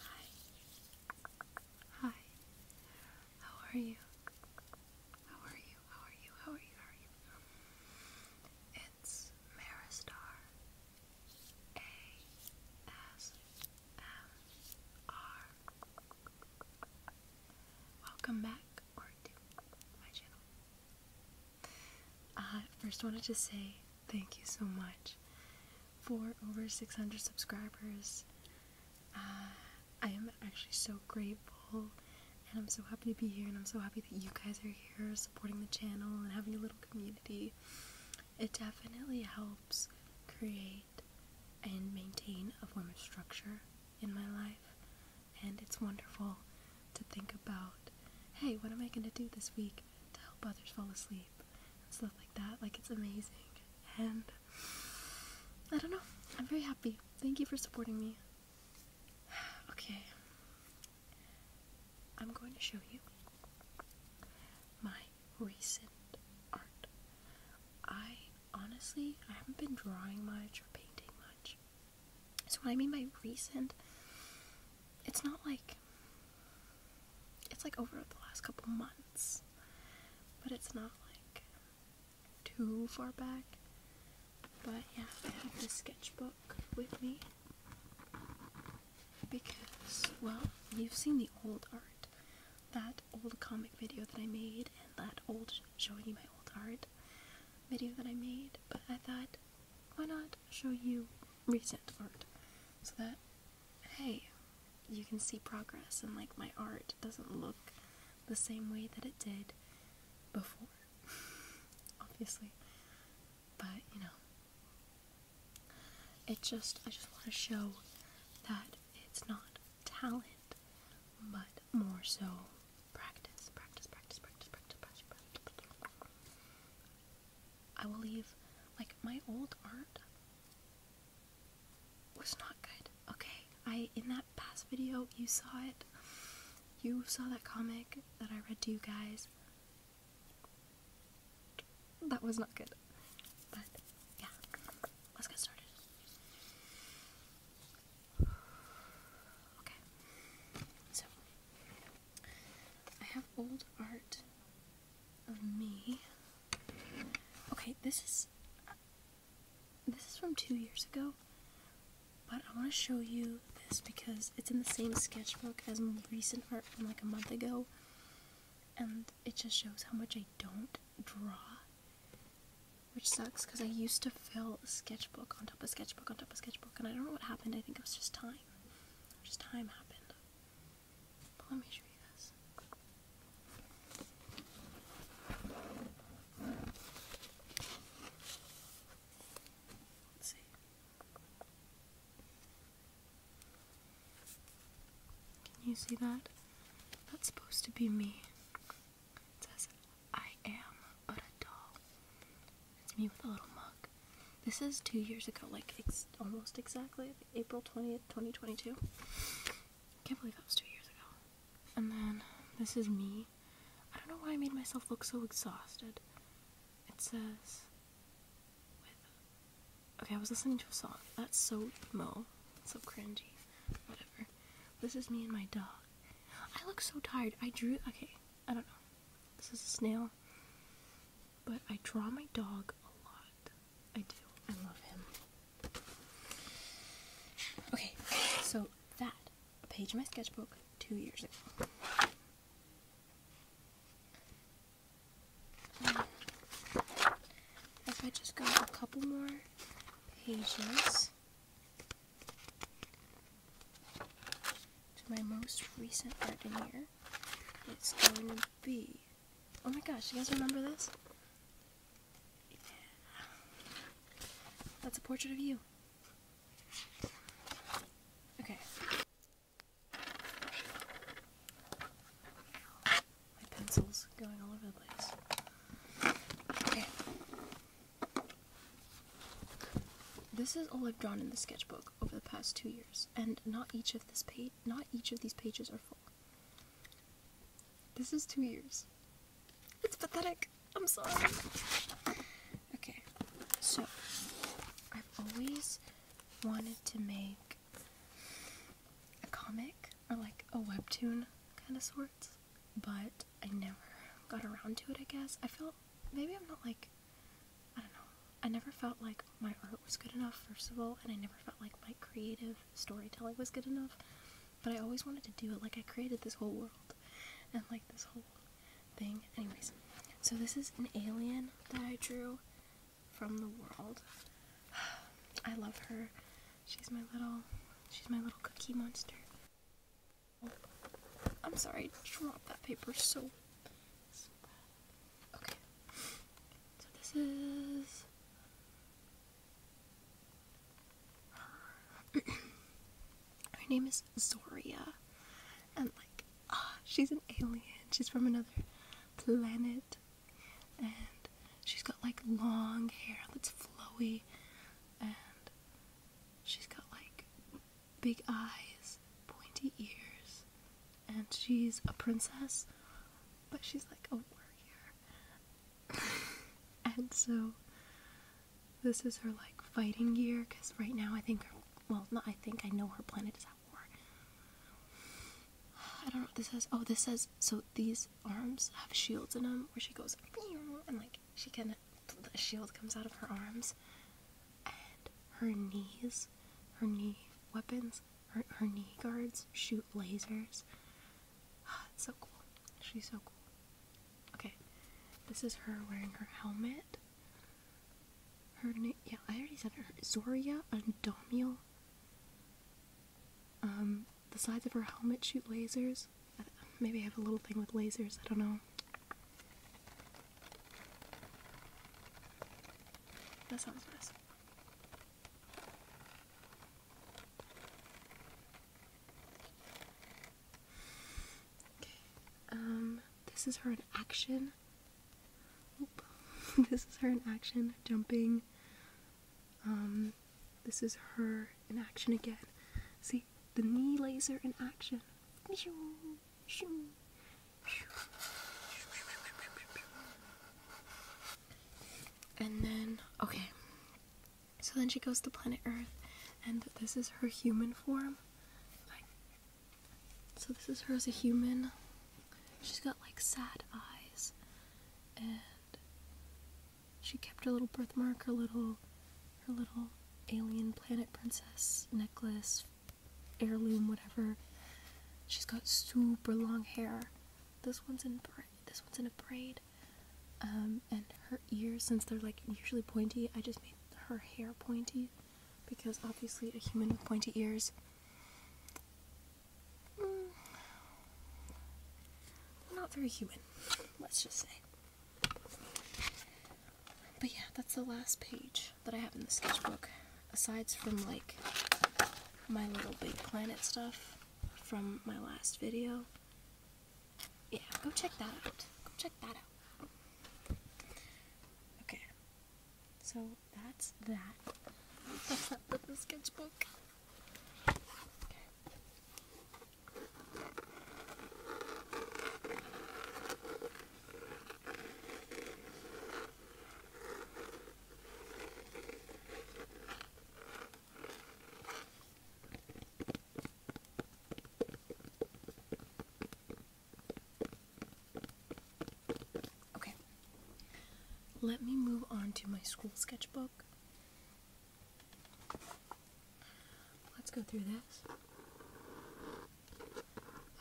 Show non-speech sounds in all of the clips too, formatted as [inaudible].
Hi. Hi. How are you? How are you? How are you? How are you? How are you? It's Maristar. A S M R. Welcome back to my channel. Uh, I first wanted to say Thank you so much for over 600 subscribers. Uh, I am actually so grateful and I'm so happy to be here and I'm so happy that you guys are here supporting the channel and having a little community. It definitely helps create and maintain a form of structure in my life and it's wonderful to think about, hey, what am I going to do this week to help others fall asleep? stuff like that. Like it's amazing. And I don't know. I'm very happy. Thank you for supporting me. [sighs] Okay. I'm going to show you my recent art. I honestly, I haven't been drawing much or painting much. So what I mean by recent, it's not like it's like over the last couple months, but it's not like too far back. But yeah, I have this sketchbook with me because, well, you've seen the old art. That old comic video that I made, and that old showing you my old art video that I made, but I thought, why not show you recent art so that hey, you can see progress and like my art doesn't look the same way that it did before, [laughs] obviously. But you know, it just, I just want to show that it's not talent, but more so practice, practice, practice, practice, practice, practice, practice. I will leave, like, my old art was not good, okay? I, in that past video, you saw it. You saw that comic that I read to you guys. That was not good. But, yeah. Let's get started. Okay. So, I have old art of me. Okay, this is this is from two years ago, but I want to show you this because it's in the same sketchbook as recent art from like a month ago, and it just shows how much I don't draw, which sucks because I used to fill a sketchbook on top of sketchbook on top of sketchbook, and I don't know what happened. I think it was just time. Just time happened. Let me show you this. see. Can you see that? That's supposed to be me. It says, I am but a doll. It's me with a little mug. This is two years ago, like it's almost exactly. April 20th, 2022. Can't believe that was two years ago. And then this is me. I don't know why I made myself look so exhausted. It says Okay, I was listening to a song. That's so emo. So cringy. Whatever. This is me and my dog. I look so tired. I drew okay, I don't know. This is a snail. But I draw my dog a lot. I do. I love him. Okay, so that, a page in my sketchbook two years ago. Um, if I just got a couple more pages to my most recent art here, it's going to be Oh my gosh, you guys remember this? That's a portrait of you. Okay. My pencil's going all over the place. Okay. This is all I've drawn in the sketchbook over the past two years, and not each of this page, not each of these pages are full. This is two years. It's pathetic. I'm sorry. Okay, so I've always wanted to make a comic or like a webtoon kind of sort, but I never got around to it, I guess. I felt maybe I'm not like, I don't know, I never felt like my art was good enough, first of all, and I never felt like my creative storytelling was good enough. But I always wanted to do it. Like, I created this whole world and, like, this whole thing. Anyways, so this is an alien that I drew from the world. [sighs] I love her. She's my little, she's my little cookie monster. I'm sorry, I dropped that paper so, Okay. So this is her. [clears throat] her name is Zoria. And like ah, she's an alien. She's from another planet. And she's got like long hair that's flowy and she's got like big eyes, pointy ears, and she's a princess but she's like, oh, warrior, [laughs] and so this is her like fighting gear because right now I think her, well, not I think, I know her planet is at war. [sighs] I don't know what this says. Oh, this says, so these arms have shields in them where she goes, and like she can, the shield comes out of her arms and her knees, her knee weapons her, her knee guards shoot lasers. Oh, [gasps] it's so cool. She's so cool. Okay, this is her wearing her helmet. Her name, yeah, I already said her. Zoria Andomiel. Um, the sides of her helmet shoot lasers. Maybe I have a little thing with lasers, I don't know. That sounds nice. Okay. Um, this is her in action. [laughs] this is her in action, jumping. Um, this is her in action again. See, the knee laser in action. And then, okay. So then she goes to planet Earth, and this is her human form. Like, so this is her as a human. She's got like sad eyes, and she kept her little birthmark, her little, her little alien planet princess necklace, heirloom, whatever. She's got super long hair. This one's in this one's in a braid. Um, and her ears, since they're like usually pointy, I just made her hair pointy because obviously a human with pointy ears. Mm. not very human, [laughs] let's just say. But yeah, that's the last page that I have in the sketchbook, aside from like my little Big Planet stuff from my last video. Yeah, go check that out. Go check that out. Okay. So that's that. That's [laughs] that the sketchbook. Okay. Okay. Let me move on to my school sketchbook. Let's go through this.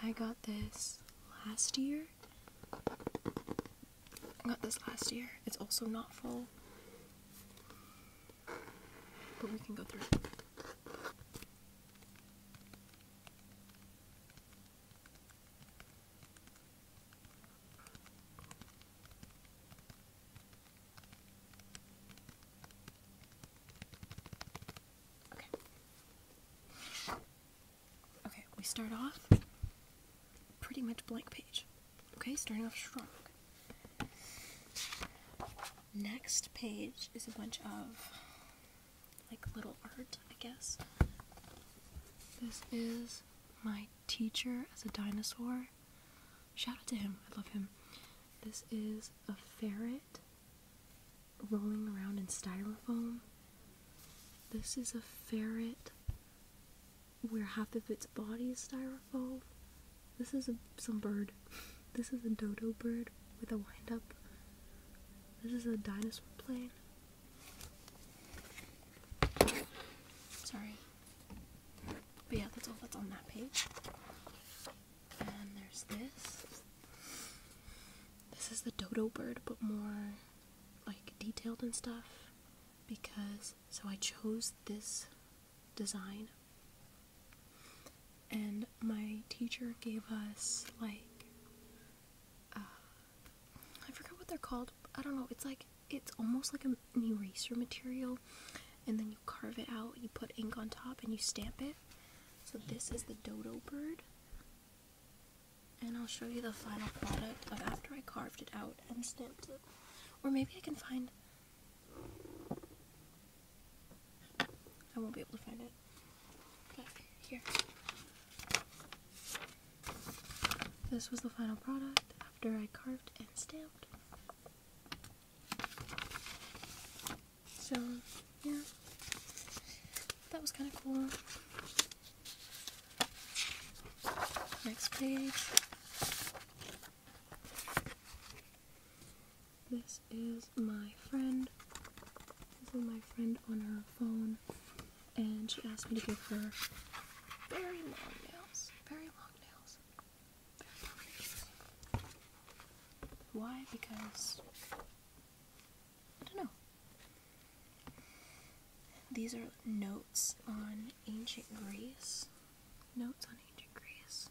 I got this last year I got this last year. It's also not full. But we can go through Okay. Okay, we start off pretty much blank page. Okay, starting off strong. Next page is a bunch of like little art, I guess. This is my teacher as a dinosaur. Shout out to him, I love him. This is a ferret rolling around in styrofoam. This is a ferret where half of its body is styrofoam. This is a, some bird. [laughs] This is a dodo bird with a windup. This is a dinosaur plane. Sorry. But yeah, that's all that's on that page. And there's this. This is the dodo bird, but more like detailed and stuff because so I chose this design and my teacher gave us like uh, I forgot what they're called I don't know it's like it's almost like an eraser material and then you carve it out you put ink on top and you stamp it so this is the dodo bird and I'll show you the final product of after I carved it out and stamped it. Or maybe I can find... I won't be able to find it. But here. This was the final product after I carved and stamped. So, yeah. That was kind of cool. Next page. This is my friend. This is my friend on her phone, and she asked me to give her very long nails. Very long nails. Very long nails. Why? Because I don't know. These are notes on ancient Greece. Notes on ancient Greece.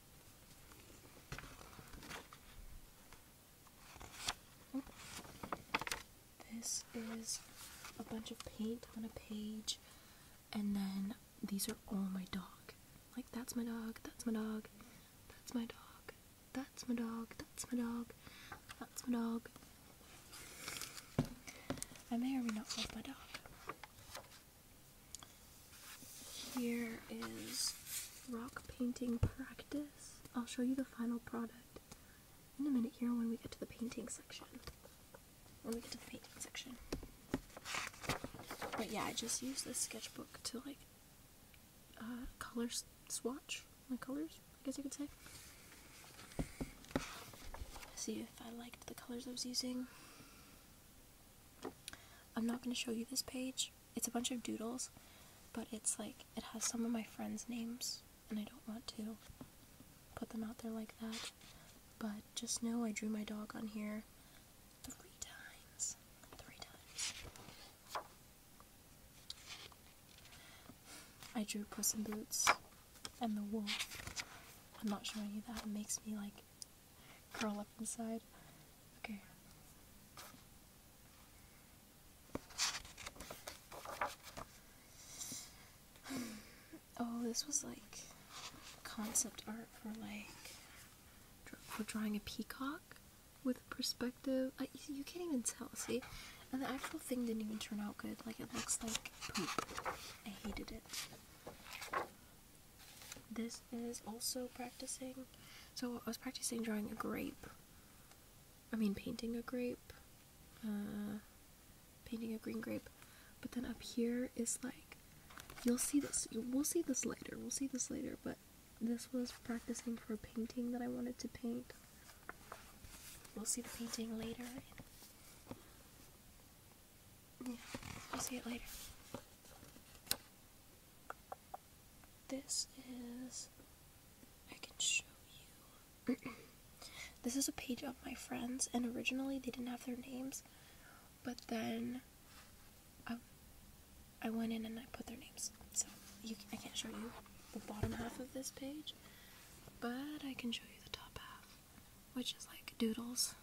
This is a bunch of paint on a page, and then these are all my dog. Like, that's my dog, that's my dog, that's my dog, that's my dog, that's my dog, that's my dog, I may or may not love my dog. Here is rock painting practice. I'll show you the final product in a minute here when we get to the painting section. When we get to the painting section. But yeah, I just used this sketchbook to like uh, color swatch my colors, I guess you could say. See, if I liked the colors I was using. I'm not going to show you this page. It's a bunch of doodles, but it's like, it has some of my friends' names, and I don't want to put them out there like that. But just know I drew my dog on here three times. Three times. I drew person Boots and the wool. I'm not showing you that. It makes me like curl up inside. Okay. [sighs] oh, this was like concept art for like for drawing a peacock with perspective. you can't even tell. See, and the actual thing didn't even turn out good. Like it looks like poop. I hated it. This is also practicing. So I was practicing drawing a grape. I mean, painting a grape. Uh, painting a green grape. But then up here is like, you'll see this. We'll see this later. We'll see this later. But this was practicing for a painting that I wanted to paint. We'll see the painting later. Yeah, I'll see it later. This is. I can show you. [clears throat] this is a page of my friends, and originally they didn't have their names, but then I, went in and I put their names. So you, I can't show you the bottom half of this page, but I can show you the top half which is like doodles.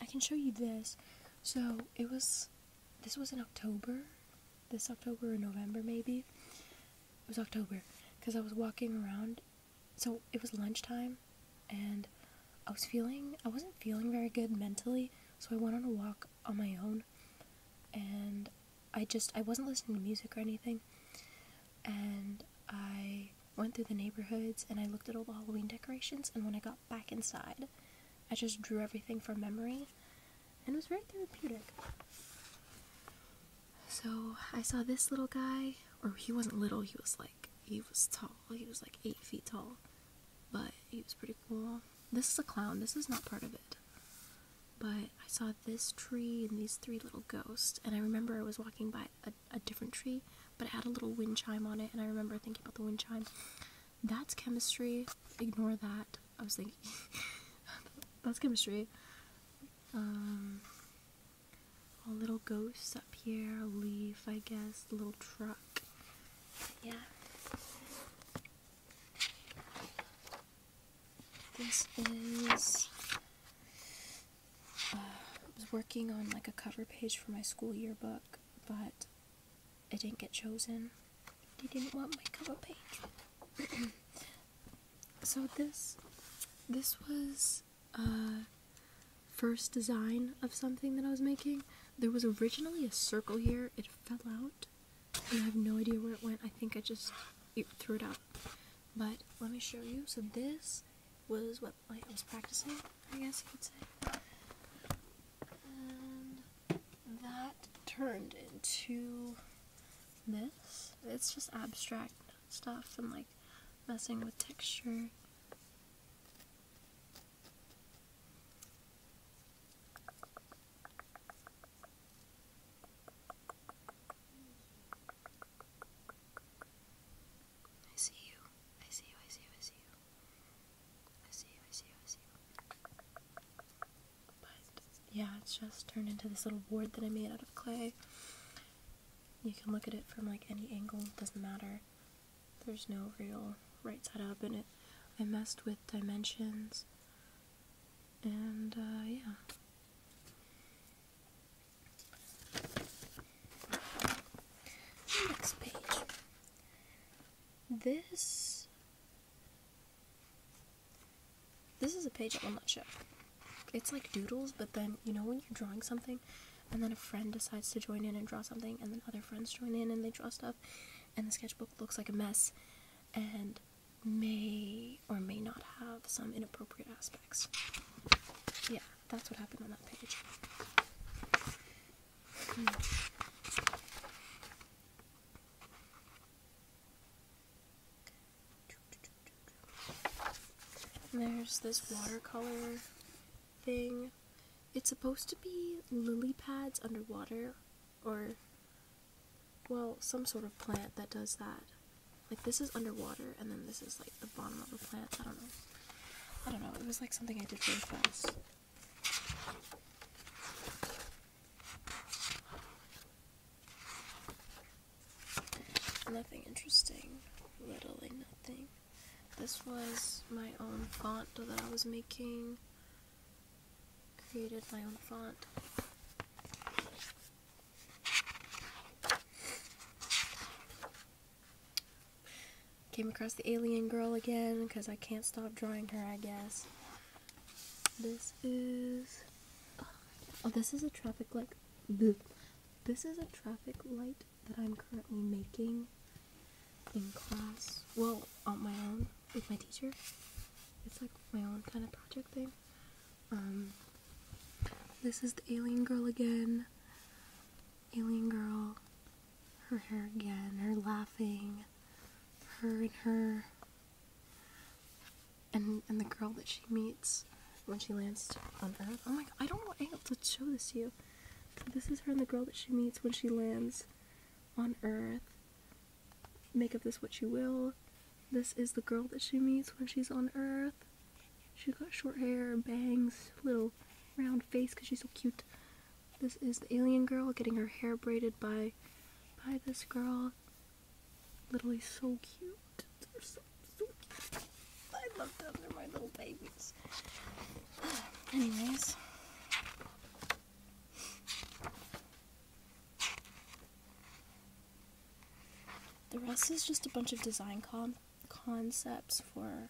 I can show you this. So it was, this was in October, this October or November maybe. It was October because I was walking around. So it was lunchtime and I was feeling, I wasn't feeling very good mentally. So I went on a walk on my own and I just I wasn't listening to music or anything, and I went through the neighborhoods and I looked at all the Halloween decorations. And when I got back inside, I just drew everything from memory, and it was very therapeutic. So I saw this little guy, or he wasn't little. He was like he was tall. He was like eight feet tall, but he was pretty cool. This is a clown. This is not part of it. But I saw this tree and these three little ghosts, and I remember I was walking by a, a different tree, but it had a little wind chime on it, and I remember thinking about the wind chime. That's chemistry. Ignore that. I was thinking, [laughs] that's chemistry. Um, a little ghost up here, a leaf, I guess, little truck. Yeah. This is. Uh, I was working on like a cover page for my school yearbook, but it didn't get chosen. They didn't want my cover page. [clears throat] so this, this was a uh, first design of something that I was making. There was originally a circle here. It fell out, and I have no idea where it went. I think I just threw it out. But let me show you. So this was what I was practicing, I guess you could say. And that turned into this. It's just abstract stuff and like messing with texture. I see you. I see you. I see you. I see you. I see you. I see you. But yeah, it's just turned into this little board that I made out of clay. You can look at it from like any angle, doesn't matter. There's no real right side up in it. I messed with dimensions and uh, yeah. Next page. This this is a page I will not show. It's like doodles, but then you know when you're drawing something, and then a friend decides to join in and draw something, and then other friends join in and they draw stuff, and the sketchbook looks like a mess, and may or may not have some inappropriate aspects. Yeah, that's what happened on that page. Hmm. There's this watercolor thing. It's supposed to be lily pads underwater, or well, some sort of plant that does that. Like this is underwater, and then this is like the bottom of the plant. I don't know. I don't know. It was like something I did really fast. Nothing interesting. Literally nothing. This was my own font that I was making created my own font. Came across the alien girl again because I can't stop drawing her, I guess. This is... Oh, this is a traffic light. This is a traffic light that I'm currently making in class. Well, on my own with my teacher. It's like my own kind of project thing. Um, this is the alien girl again. Alien girl. Her hair again. Her laughing. Her and her. And, and the girl that she meets when she lands on Earth. Oh my god, I don't know able to show this to you. this is her and the girl that she meets when she lands on Earth make of this what you will. This is the girl that she meets when she's on Earth. She's got short hair, bangs, little round face because she's so cute. This is the alien girl getting her hair braided by by this girl. Literally so cute. They're so, so cute. I love them. They're my little babies. Anyways. The rest is just a bunch of design con concepts for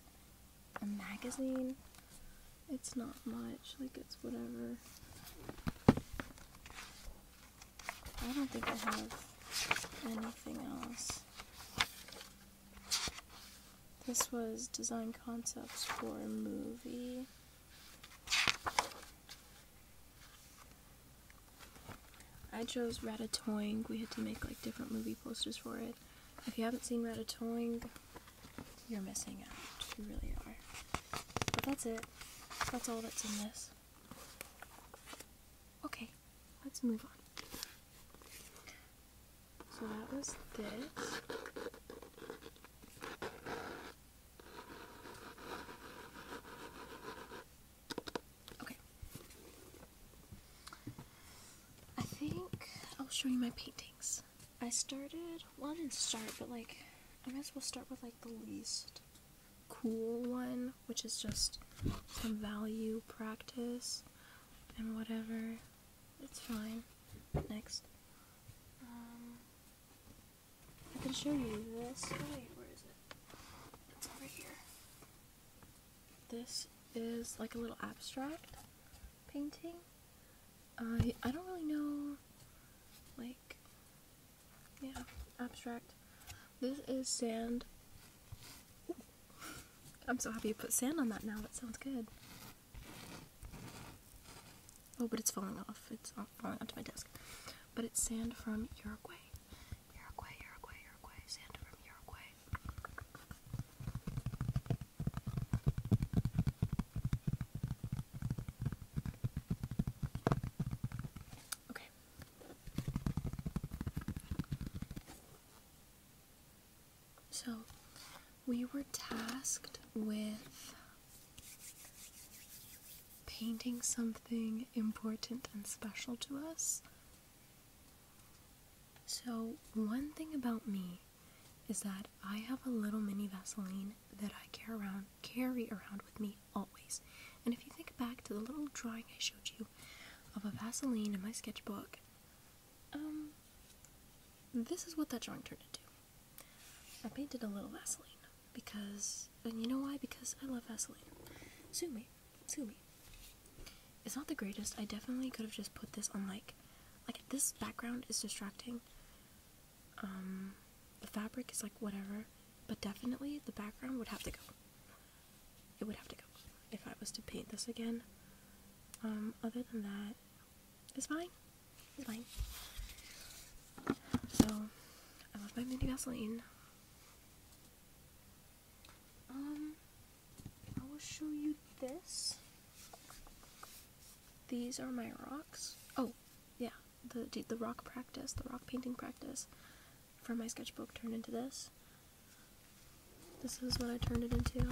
a magazine. It's not much, like it's whatever. I don't think I have anything else. This was design concepts for a movie. I chose Ratatouille. We had to make like different movie posters for it. If you haven't seen Ratatouille, you're missing out. You really are. But that's it. That's all that's in this. Okay, let's move on. So that was this. Okay. I think I'll show you my paintings. I started, one I start, but like, I might as well start with like the least cool one, which is just some value practice and whatever. It's fine. Next. Um, I can show you this. Oh, where is it? It's over here. This is like a little abstract painting. I I don't really know, like, yeah, abstract. This is sand. [laughs] I'm so happy you put sand on that now. That sounds good. Oh, but it's falling off. It's falling onto my desk. But it's sand from Uruguay. Uruguay, Uruguay, Uruguay, sand from Uruguay. Okay. So we were tasked with painting something important and special to us. So, one thing about me is that I have a little mini Vaseline that I carry around, carry around with me always. And if you think back to the little drawing I showed you of a Vaseline in my sketchbook, um, this is what that drawing turned into. I painted a little Vaseline because, and you know why? Because I love Vaseline. Sue me, sue me. It's not the greatest. I definitely could have just put this on like, like this background is distracting. Um, the fabric is like whatever, but definitely the background would have to go. It would have to go if I was to paint this again. Um, other than that, it's fine. It's fine. So, I love my mini Vaseline. Um, I will show you this. These are my rocks. Oh, yeah, the the rock practice, the rock painting practice from my sketchbook turned into this. This is what I turned it into.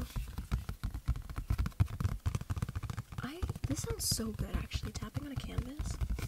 I this sounds so good actually tapping on a canvas.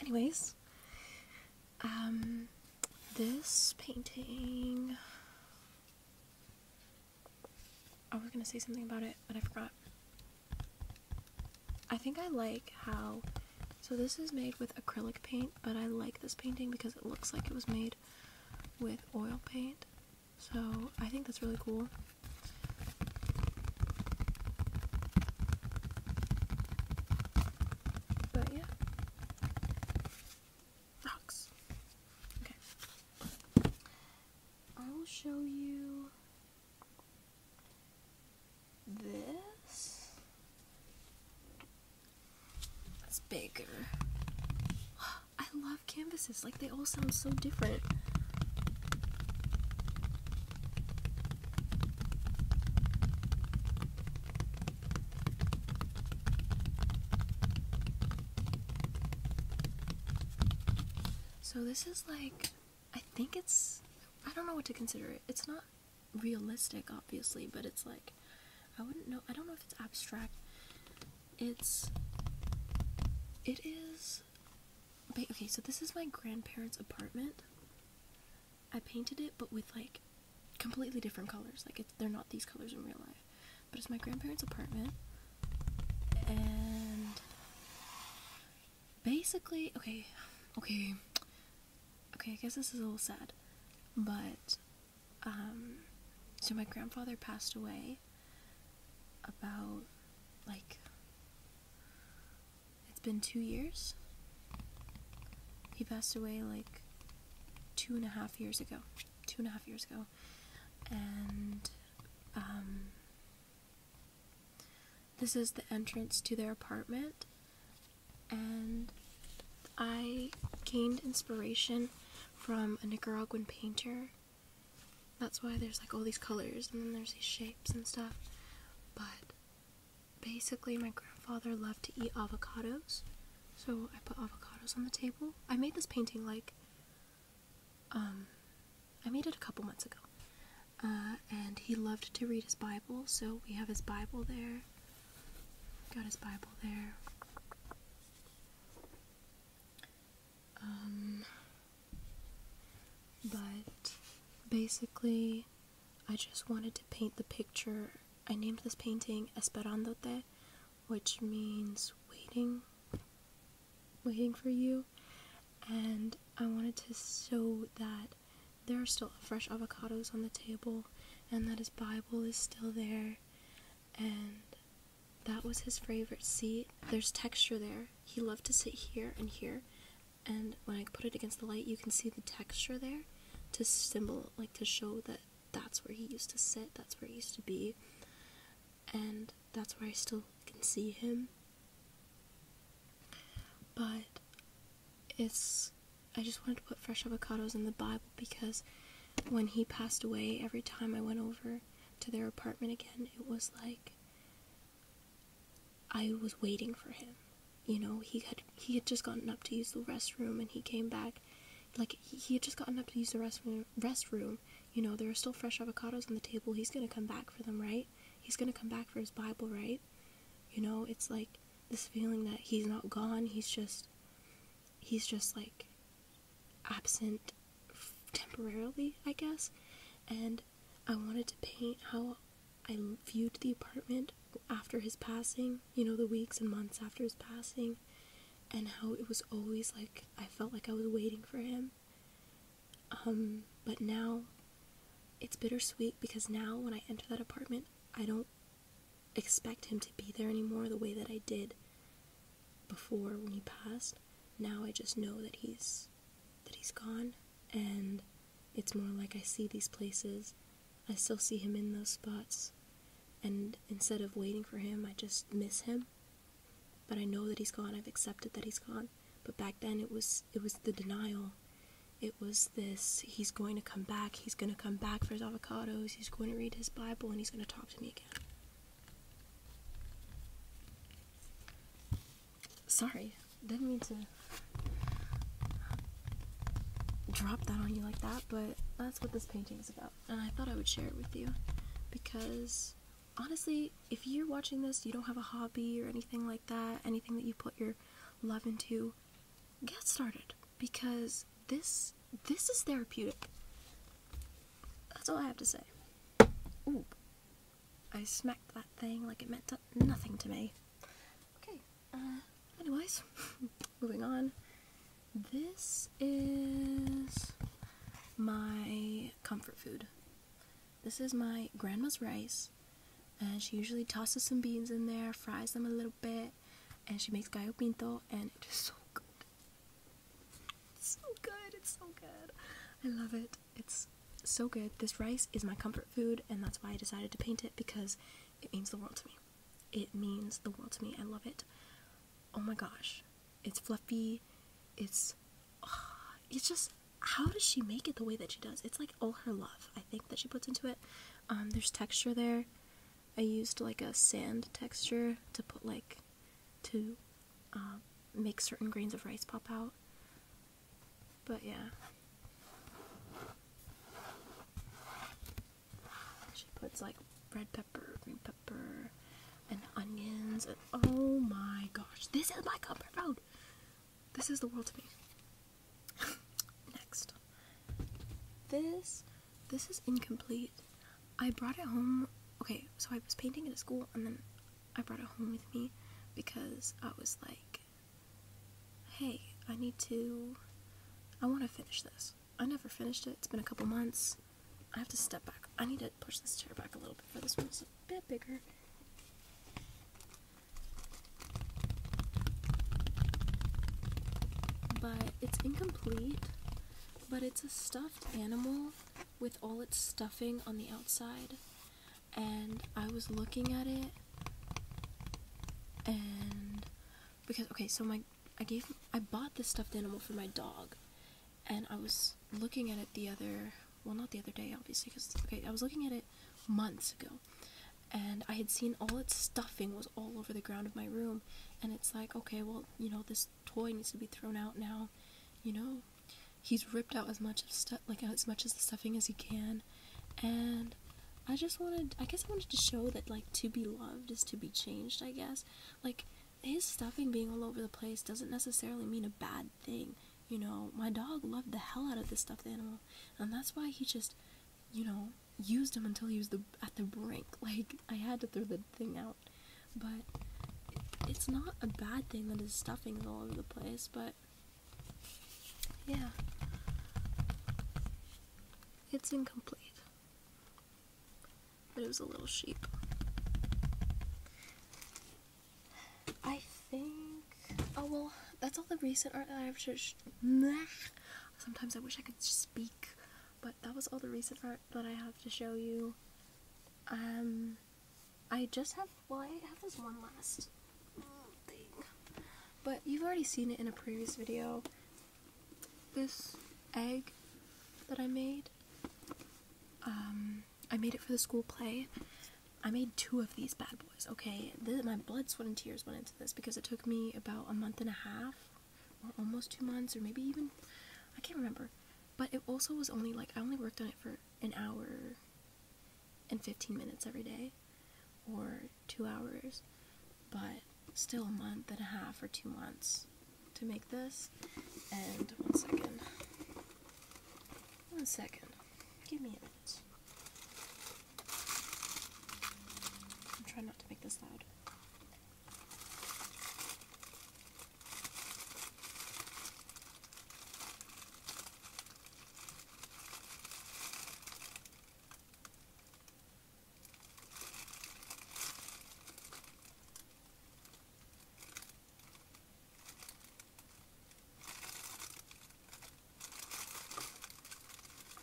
Anyways, um, this painting. I was gonna say something about it, but I forgot. I think I like how. So this is made with acrylic paint, but I like this painting because it looks like it was made with oil paint. So I think that's really cool. But yeah. Rocks. Okay. I will show you this. It's bigger. [gasps] I love canvases. Like, they all sound so different. So this is like, I think it's, I don't know what to consider it. It's not realistic, obviously, but it's like, I wouldn't know, I don't know if it's abstract. It's, it is Okay, okay, so this is my grandparents' apartment. I painted it, but with like completely different colors. Like it's, they're not these colors in real life, but it's my grandparents' apartment, and basically, okay, okay, okay. I guess this is a little sad, but um, so my grandfather passed away about like it's been two years. He passed away like two and a half years ago. Two and a half years ago. And um, this is the entrance to their apartment. And I gained inspiration from a Nicaraguan painter. That's why there's like all these colors and then there's these shapes and stuff. But basically, my grandfather loved to eat avocados, so I put avocados on the table. I made this painting like, um, I made it a couple months ago. Uh, and he loved to read his Bible, so we have his Bible there. Got his Bible there. Um, but basically, I just wanted to paint the picture. I named this painting Esperándote, which means waiting, waiting for you. And I wanted to show that there are still fresh avocados on the table and that his Bible is still there. And that was his favorite seat. There's texture there. He loved to sit here and here and when I put it against the light, you can see the texture there to symbol like to show that that's where he used to sit, that's where he used to be, and that's where I still can see him. But it's I just wanted to put fresh avocados in the Bible because when he passed away, every time I went over to their apartment again, it was like I was waiting for him. You know, he had he had just gotten up to use the restroom and he came back. Like he, had just gotten up to use the restroom restroom. You know, there are still fresh avocados on the table. He's gonna come back for them, right? He's gonna come back for his Bible, right? You know, it's like this feeling that he's not gone, he's just he's just like absent temporarily, I guess. And I wanted to paint how I viewed the apartment after his passing, you know, the weeks and months after his passing, and how it was always like I felt like I was waiting for him. Um, but now it's bittersweet because now when I enter that apartment, I don't expect him to be there anymore the way that I did before when he passed. Now I just know that he's that he's gone, and it's more like I see these places, I still see him in those spots, and instead of waiting for him, I just miss him. But I know that he's gone. I've accepted that he's gone. But back then, it was it was the denial. It was this: he's going to come back. He's going to come back for his avocados. He's going to read his Bible, and he's going to talk to me again. Sorry, didn't mean to drop that on you like that, but that's what this painting is about. And I thought I would share it with you because honestly, if you're watching this, you don't have a hobby or anything like that, anything that you put your love into, get started because this this is therapeutic. That's all I have to say. Ooh. I smacked that thing like it meant nothing to me. Okay, uh, anyways, [laughs] moving on. This is my comfort food. This is my grandma's rice, and she usually tosses some beans in there, fries them a little bit, and she makes gallo and it is so good. so good, it's so good. I love it. It's so good. This rice is my comfort food, and that's why I decided to paint it because it means the world to me. It means the world to me. I love it. Oh my gosh. It's fluffy. It's. it's just. How does she make it the way that she does? It's like all her love, I think, that she puts into it. Um, there's texture there. I used like a sand texture to put like. to uh, make certain grains of rice pop out. But yeah. She puts like red pepper, green pepper, and onions. And oh my gosh, this is my comfort food. This is the world to me. [laughs] Next, this this is incomplete. I brought it home. Okay, so I was painting at school, and then I brought it home with me because I was like, hey, I need to. I want to finish this. I never finished it. It's been a couple months. I have to step back. I need to push this chair back a little bit for this one's a bit bigger. But it's incomplete, but it's a stuffed animal with all its stuffing on the outside and I was looking at it and because okay, so my I gave I bought this stuffed animal for my dog and I was looking at it the other well not the other day obviously cuz okay, I was looking at it months ago and I had seen all its stuffing was all over the ground of my room and it's like, okay, well, you know, this toy needs to be thrown out now. You know, he's ripped out as much of stuff like as much as the stuffing as he can and I just wanted I guess I wanted to show that like to be loved is to be changed, I guess. Like his stuffing being all over the place doesn't necessarily mean a bad thing. You know, my dog loved the hell out of this stuffed animal, and that's why he just, you know, used him until he was the at the brink. [laughs] Like I had to throw the thing out, but it's not a bad thing that his stuffing is all over the place. But yeah, it's incomplete. But it was a little sheep. I think. Oh well, that's all the recent art that I've just. Sometimes I wish I could speak, but that was all the recent art that I have to show you. Um, I just have. Well, I have this one last mm. But you've already seen it in a previous video. This egg that I made, um, I made it for the school play. I made two of these bad boys, okay? my blood, sweat, and tears went into this because it took me about a month and a half, or almost two months, or maybe even, I can't remember. But it also was only like, I only worked on it for an hour and 15 minutes every day, or two hours, but still a month and a half or two months to make this. And one second. One second. Give me a minute. I'm trying not to make this loud.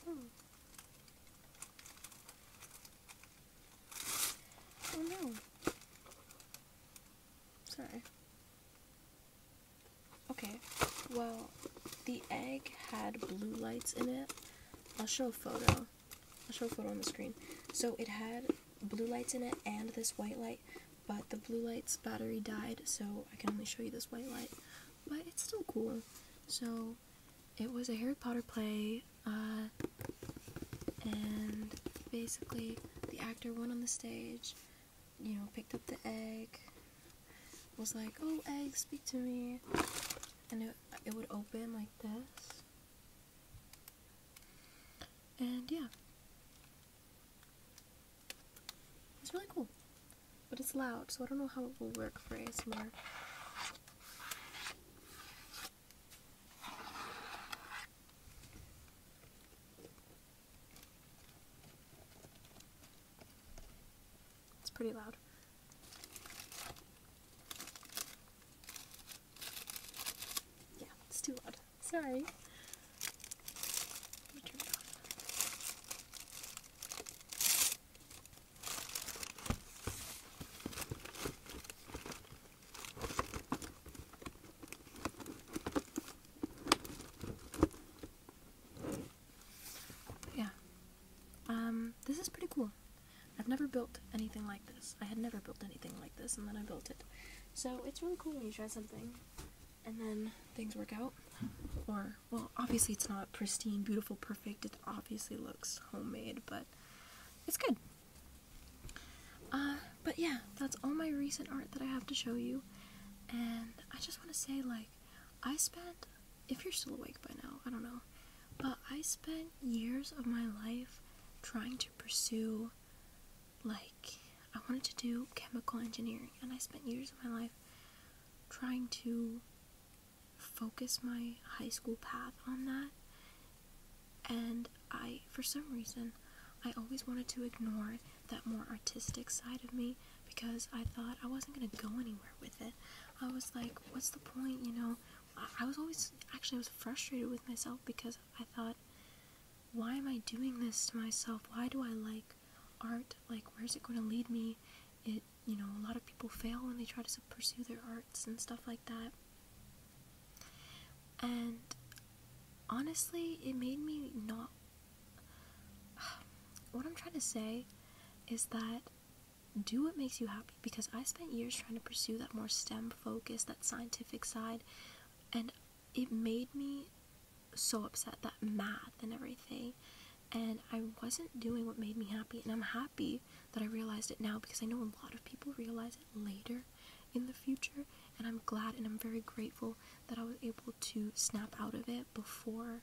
Hmm. Oh no. Sorry. Okay, well, the egg had blue lights in it. I'll show a photo. I'll show a photo on the screen. So it had blue lights in it and this white light, but the blue light's battery died, so I can only show you this white light. But it's still cool. So it was a Harry Potter play, uh, and basically the actor went on the stage you know, picked up the egg, was like, oh, egg, speak to me. And it, it would open like this. And yeah. It's really cool. But it's loud, so I don't know how it will work for ASMR. It's pretty loud. Yeah, it's too loud. Sorry yeah. Um, this is pretty cool. I've never built anything like this. I had never built anything like this, and then I built it. So it's really cool when you try something, and then things work out. Or, well, obviously it's not pristine, beautiful, perfect. It obviously looks homemade, but it's good. Uh, but yeah, that's all my recent art that I have to show you. And I just want to say, like, I spent if you're still awake by now, I don't know. But I spent years of my life trying to pursue like I wanted to do chemical engineering and I spent years of my life trying to focus my high school path on that. And I for some reason I always wanted to ignore that more artistic side of me because I thought I wasn't gonna go anywhere with it. I was like, what's the point, you know? I, was always actually I was frustrated with myself because I thought, why am I doing this to myself? Why do I like art? Like, where's it going to lead me? It, you know, a lot of people fail when they try to pursue their arts and stuff like that. And honestly, it made me not [sighs] what I'm trying to say is that do what makes you happy because I spent years trying to pursue that more STEM focus, that scientific side, and it made me so upset that math and everything. And I wasn't doing what made me happy, and I'm happy that I realized it now because I know a lot of people realize it later in the future, and I'm glad and I'm very grateful that I was able to snap out of it before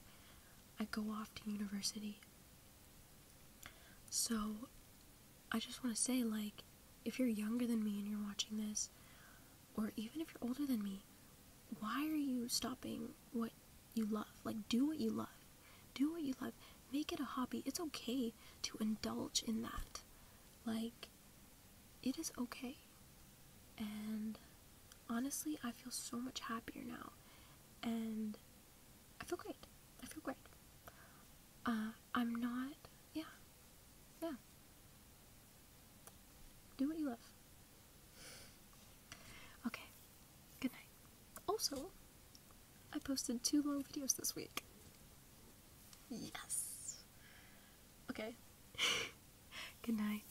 I go off to university. So, I just want to say, like, if you're younger than me and you're watching this, or even if you're older than me, why are you stopping what you love? Like, do what you love. Do what you love. Make it a hobby. It's okay to indulge in that. Like, it is okay. And honestly, I feel so much happier now. And I feel great. I feel great. Uh, I'm not, yeah, yeah. Do what you love. Okay, good night. Also, I posted two long videos this week. Yes! Okay, [laughs] good night.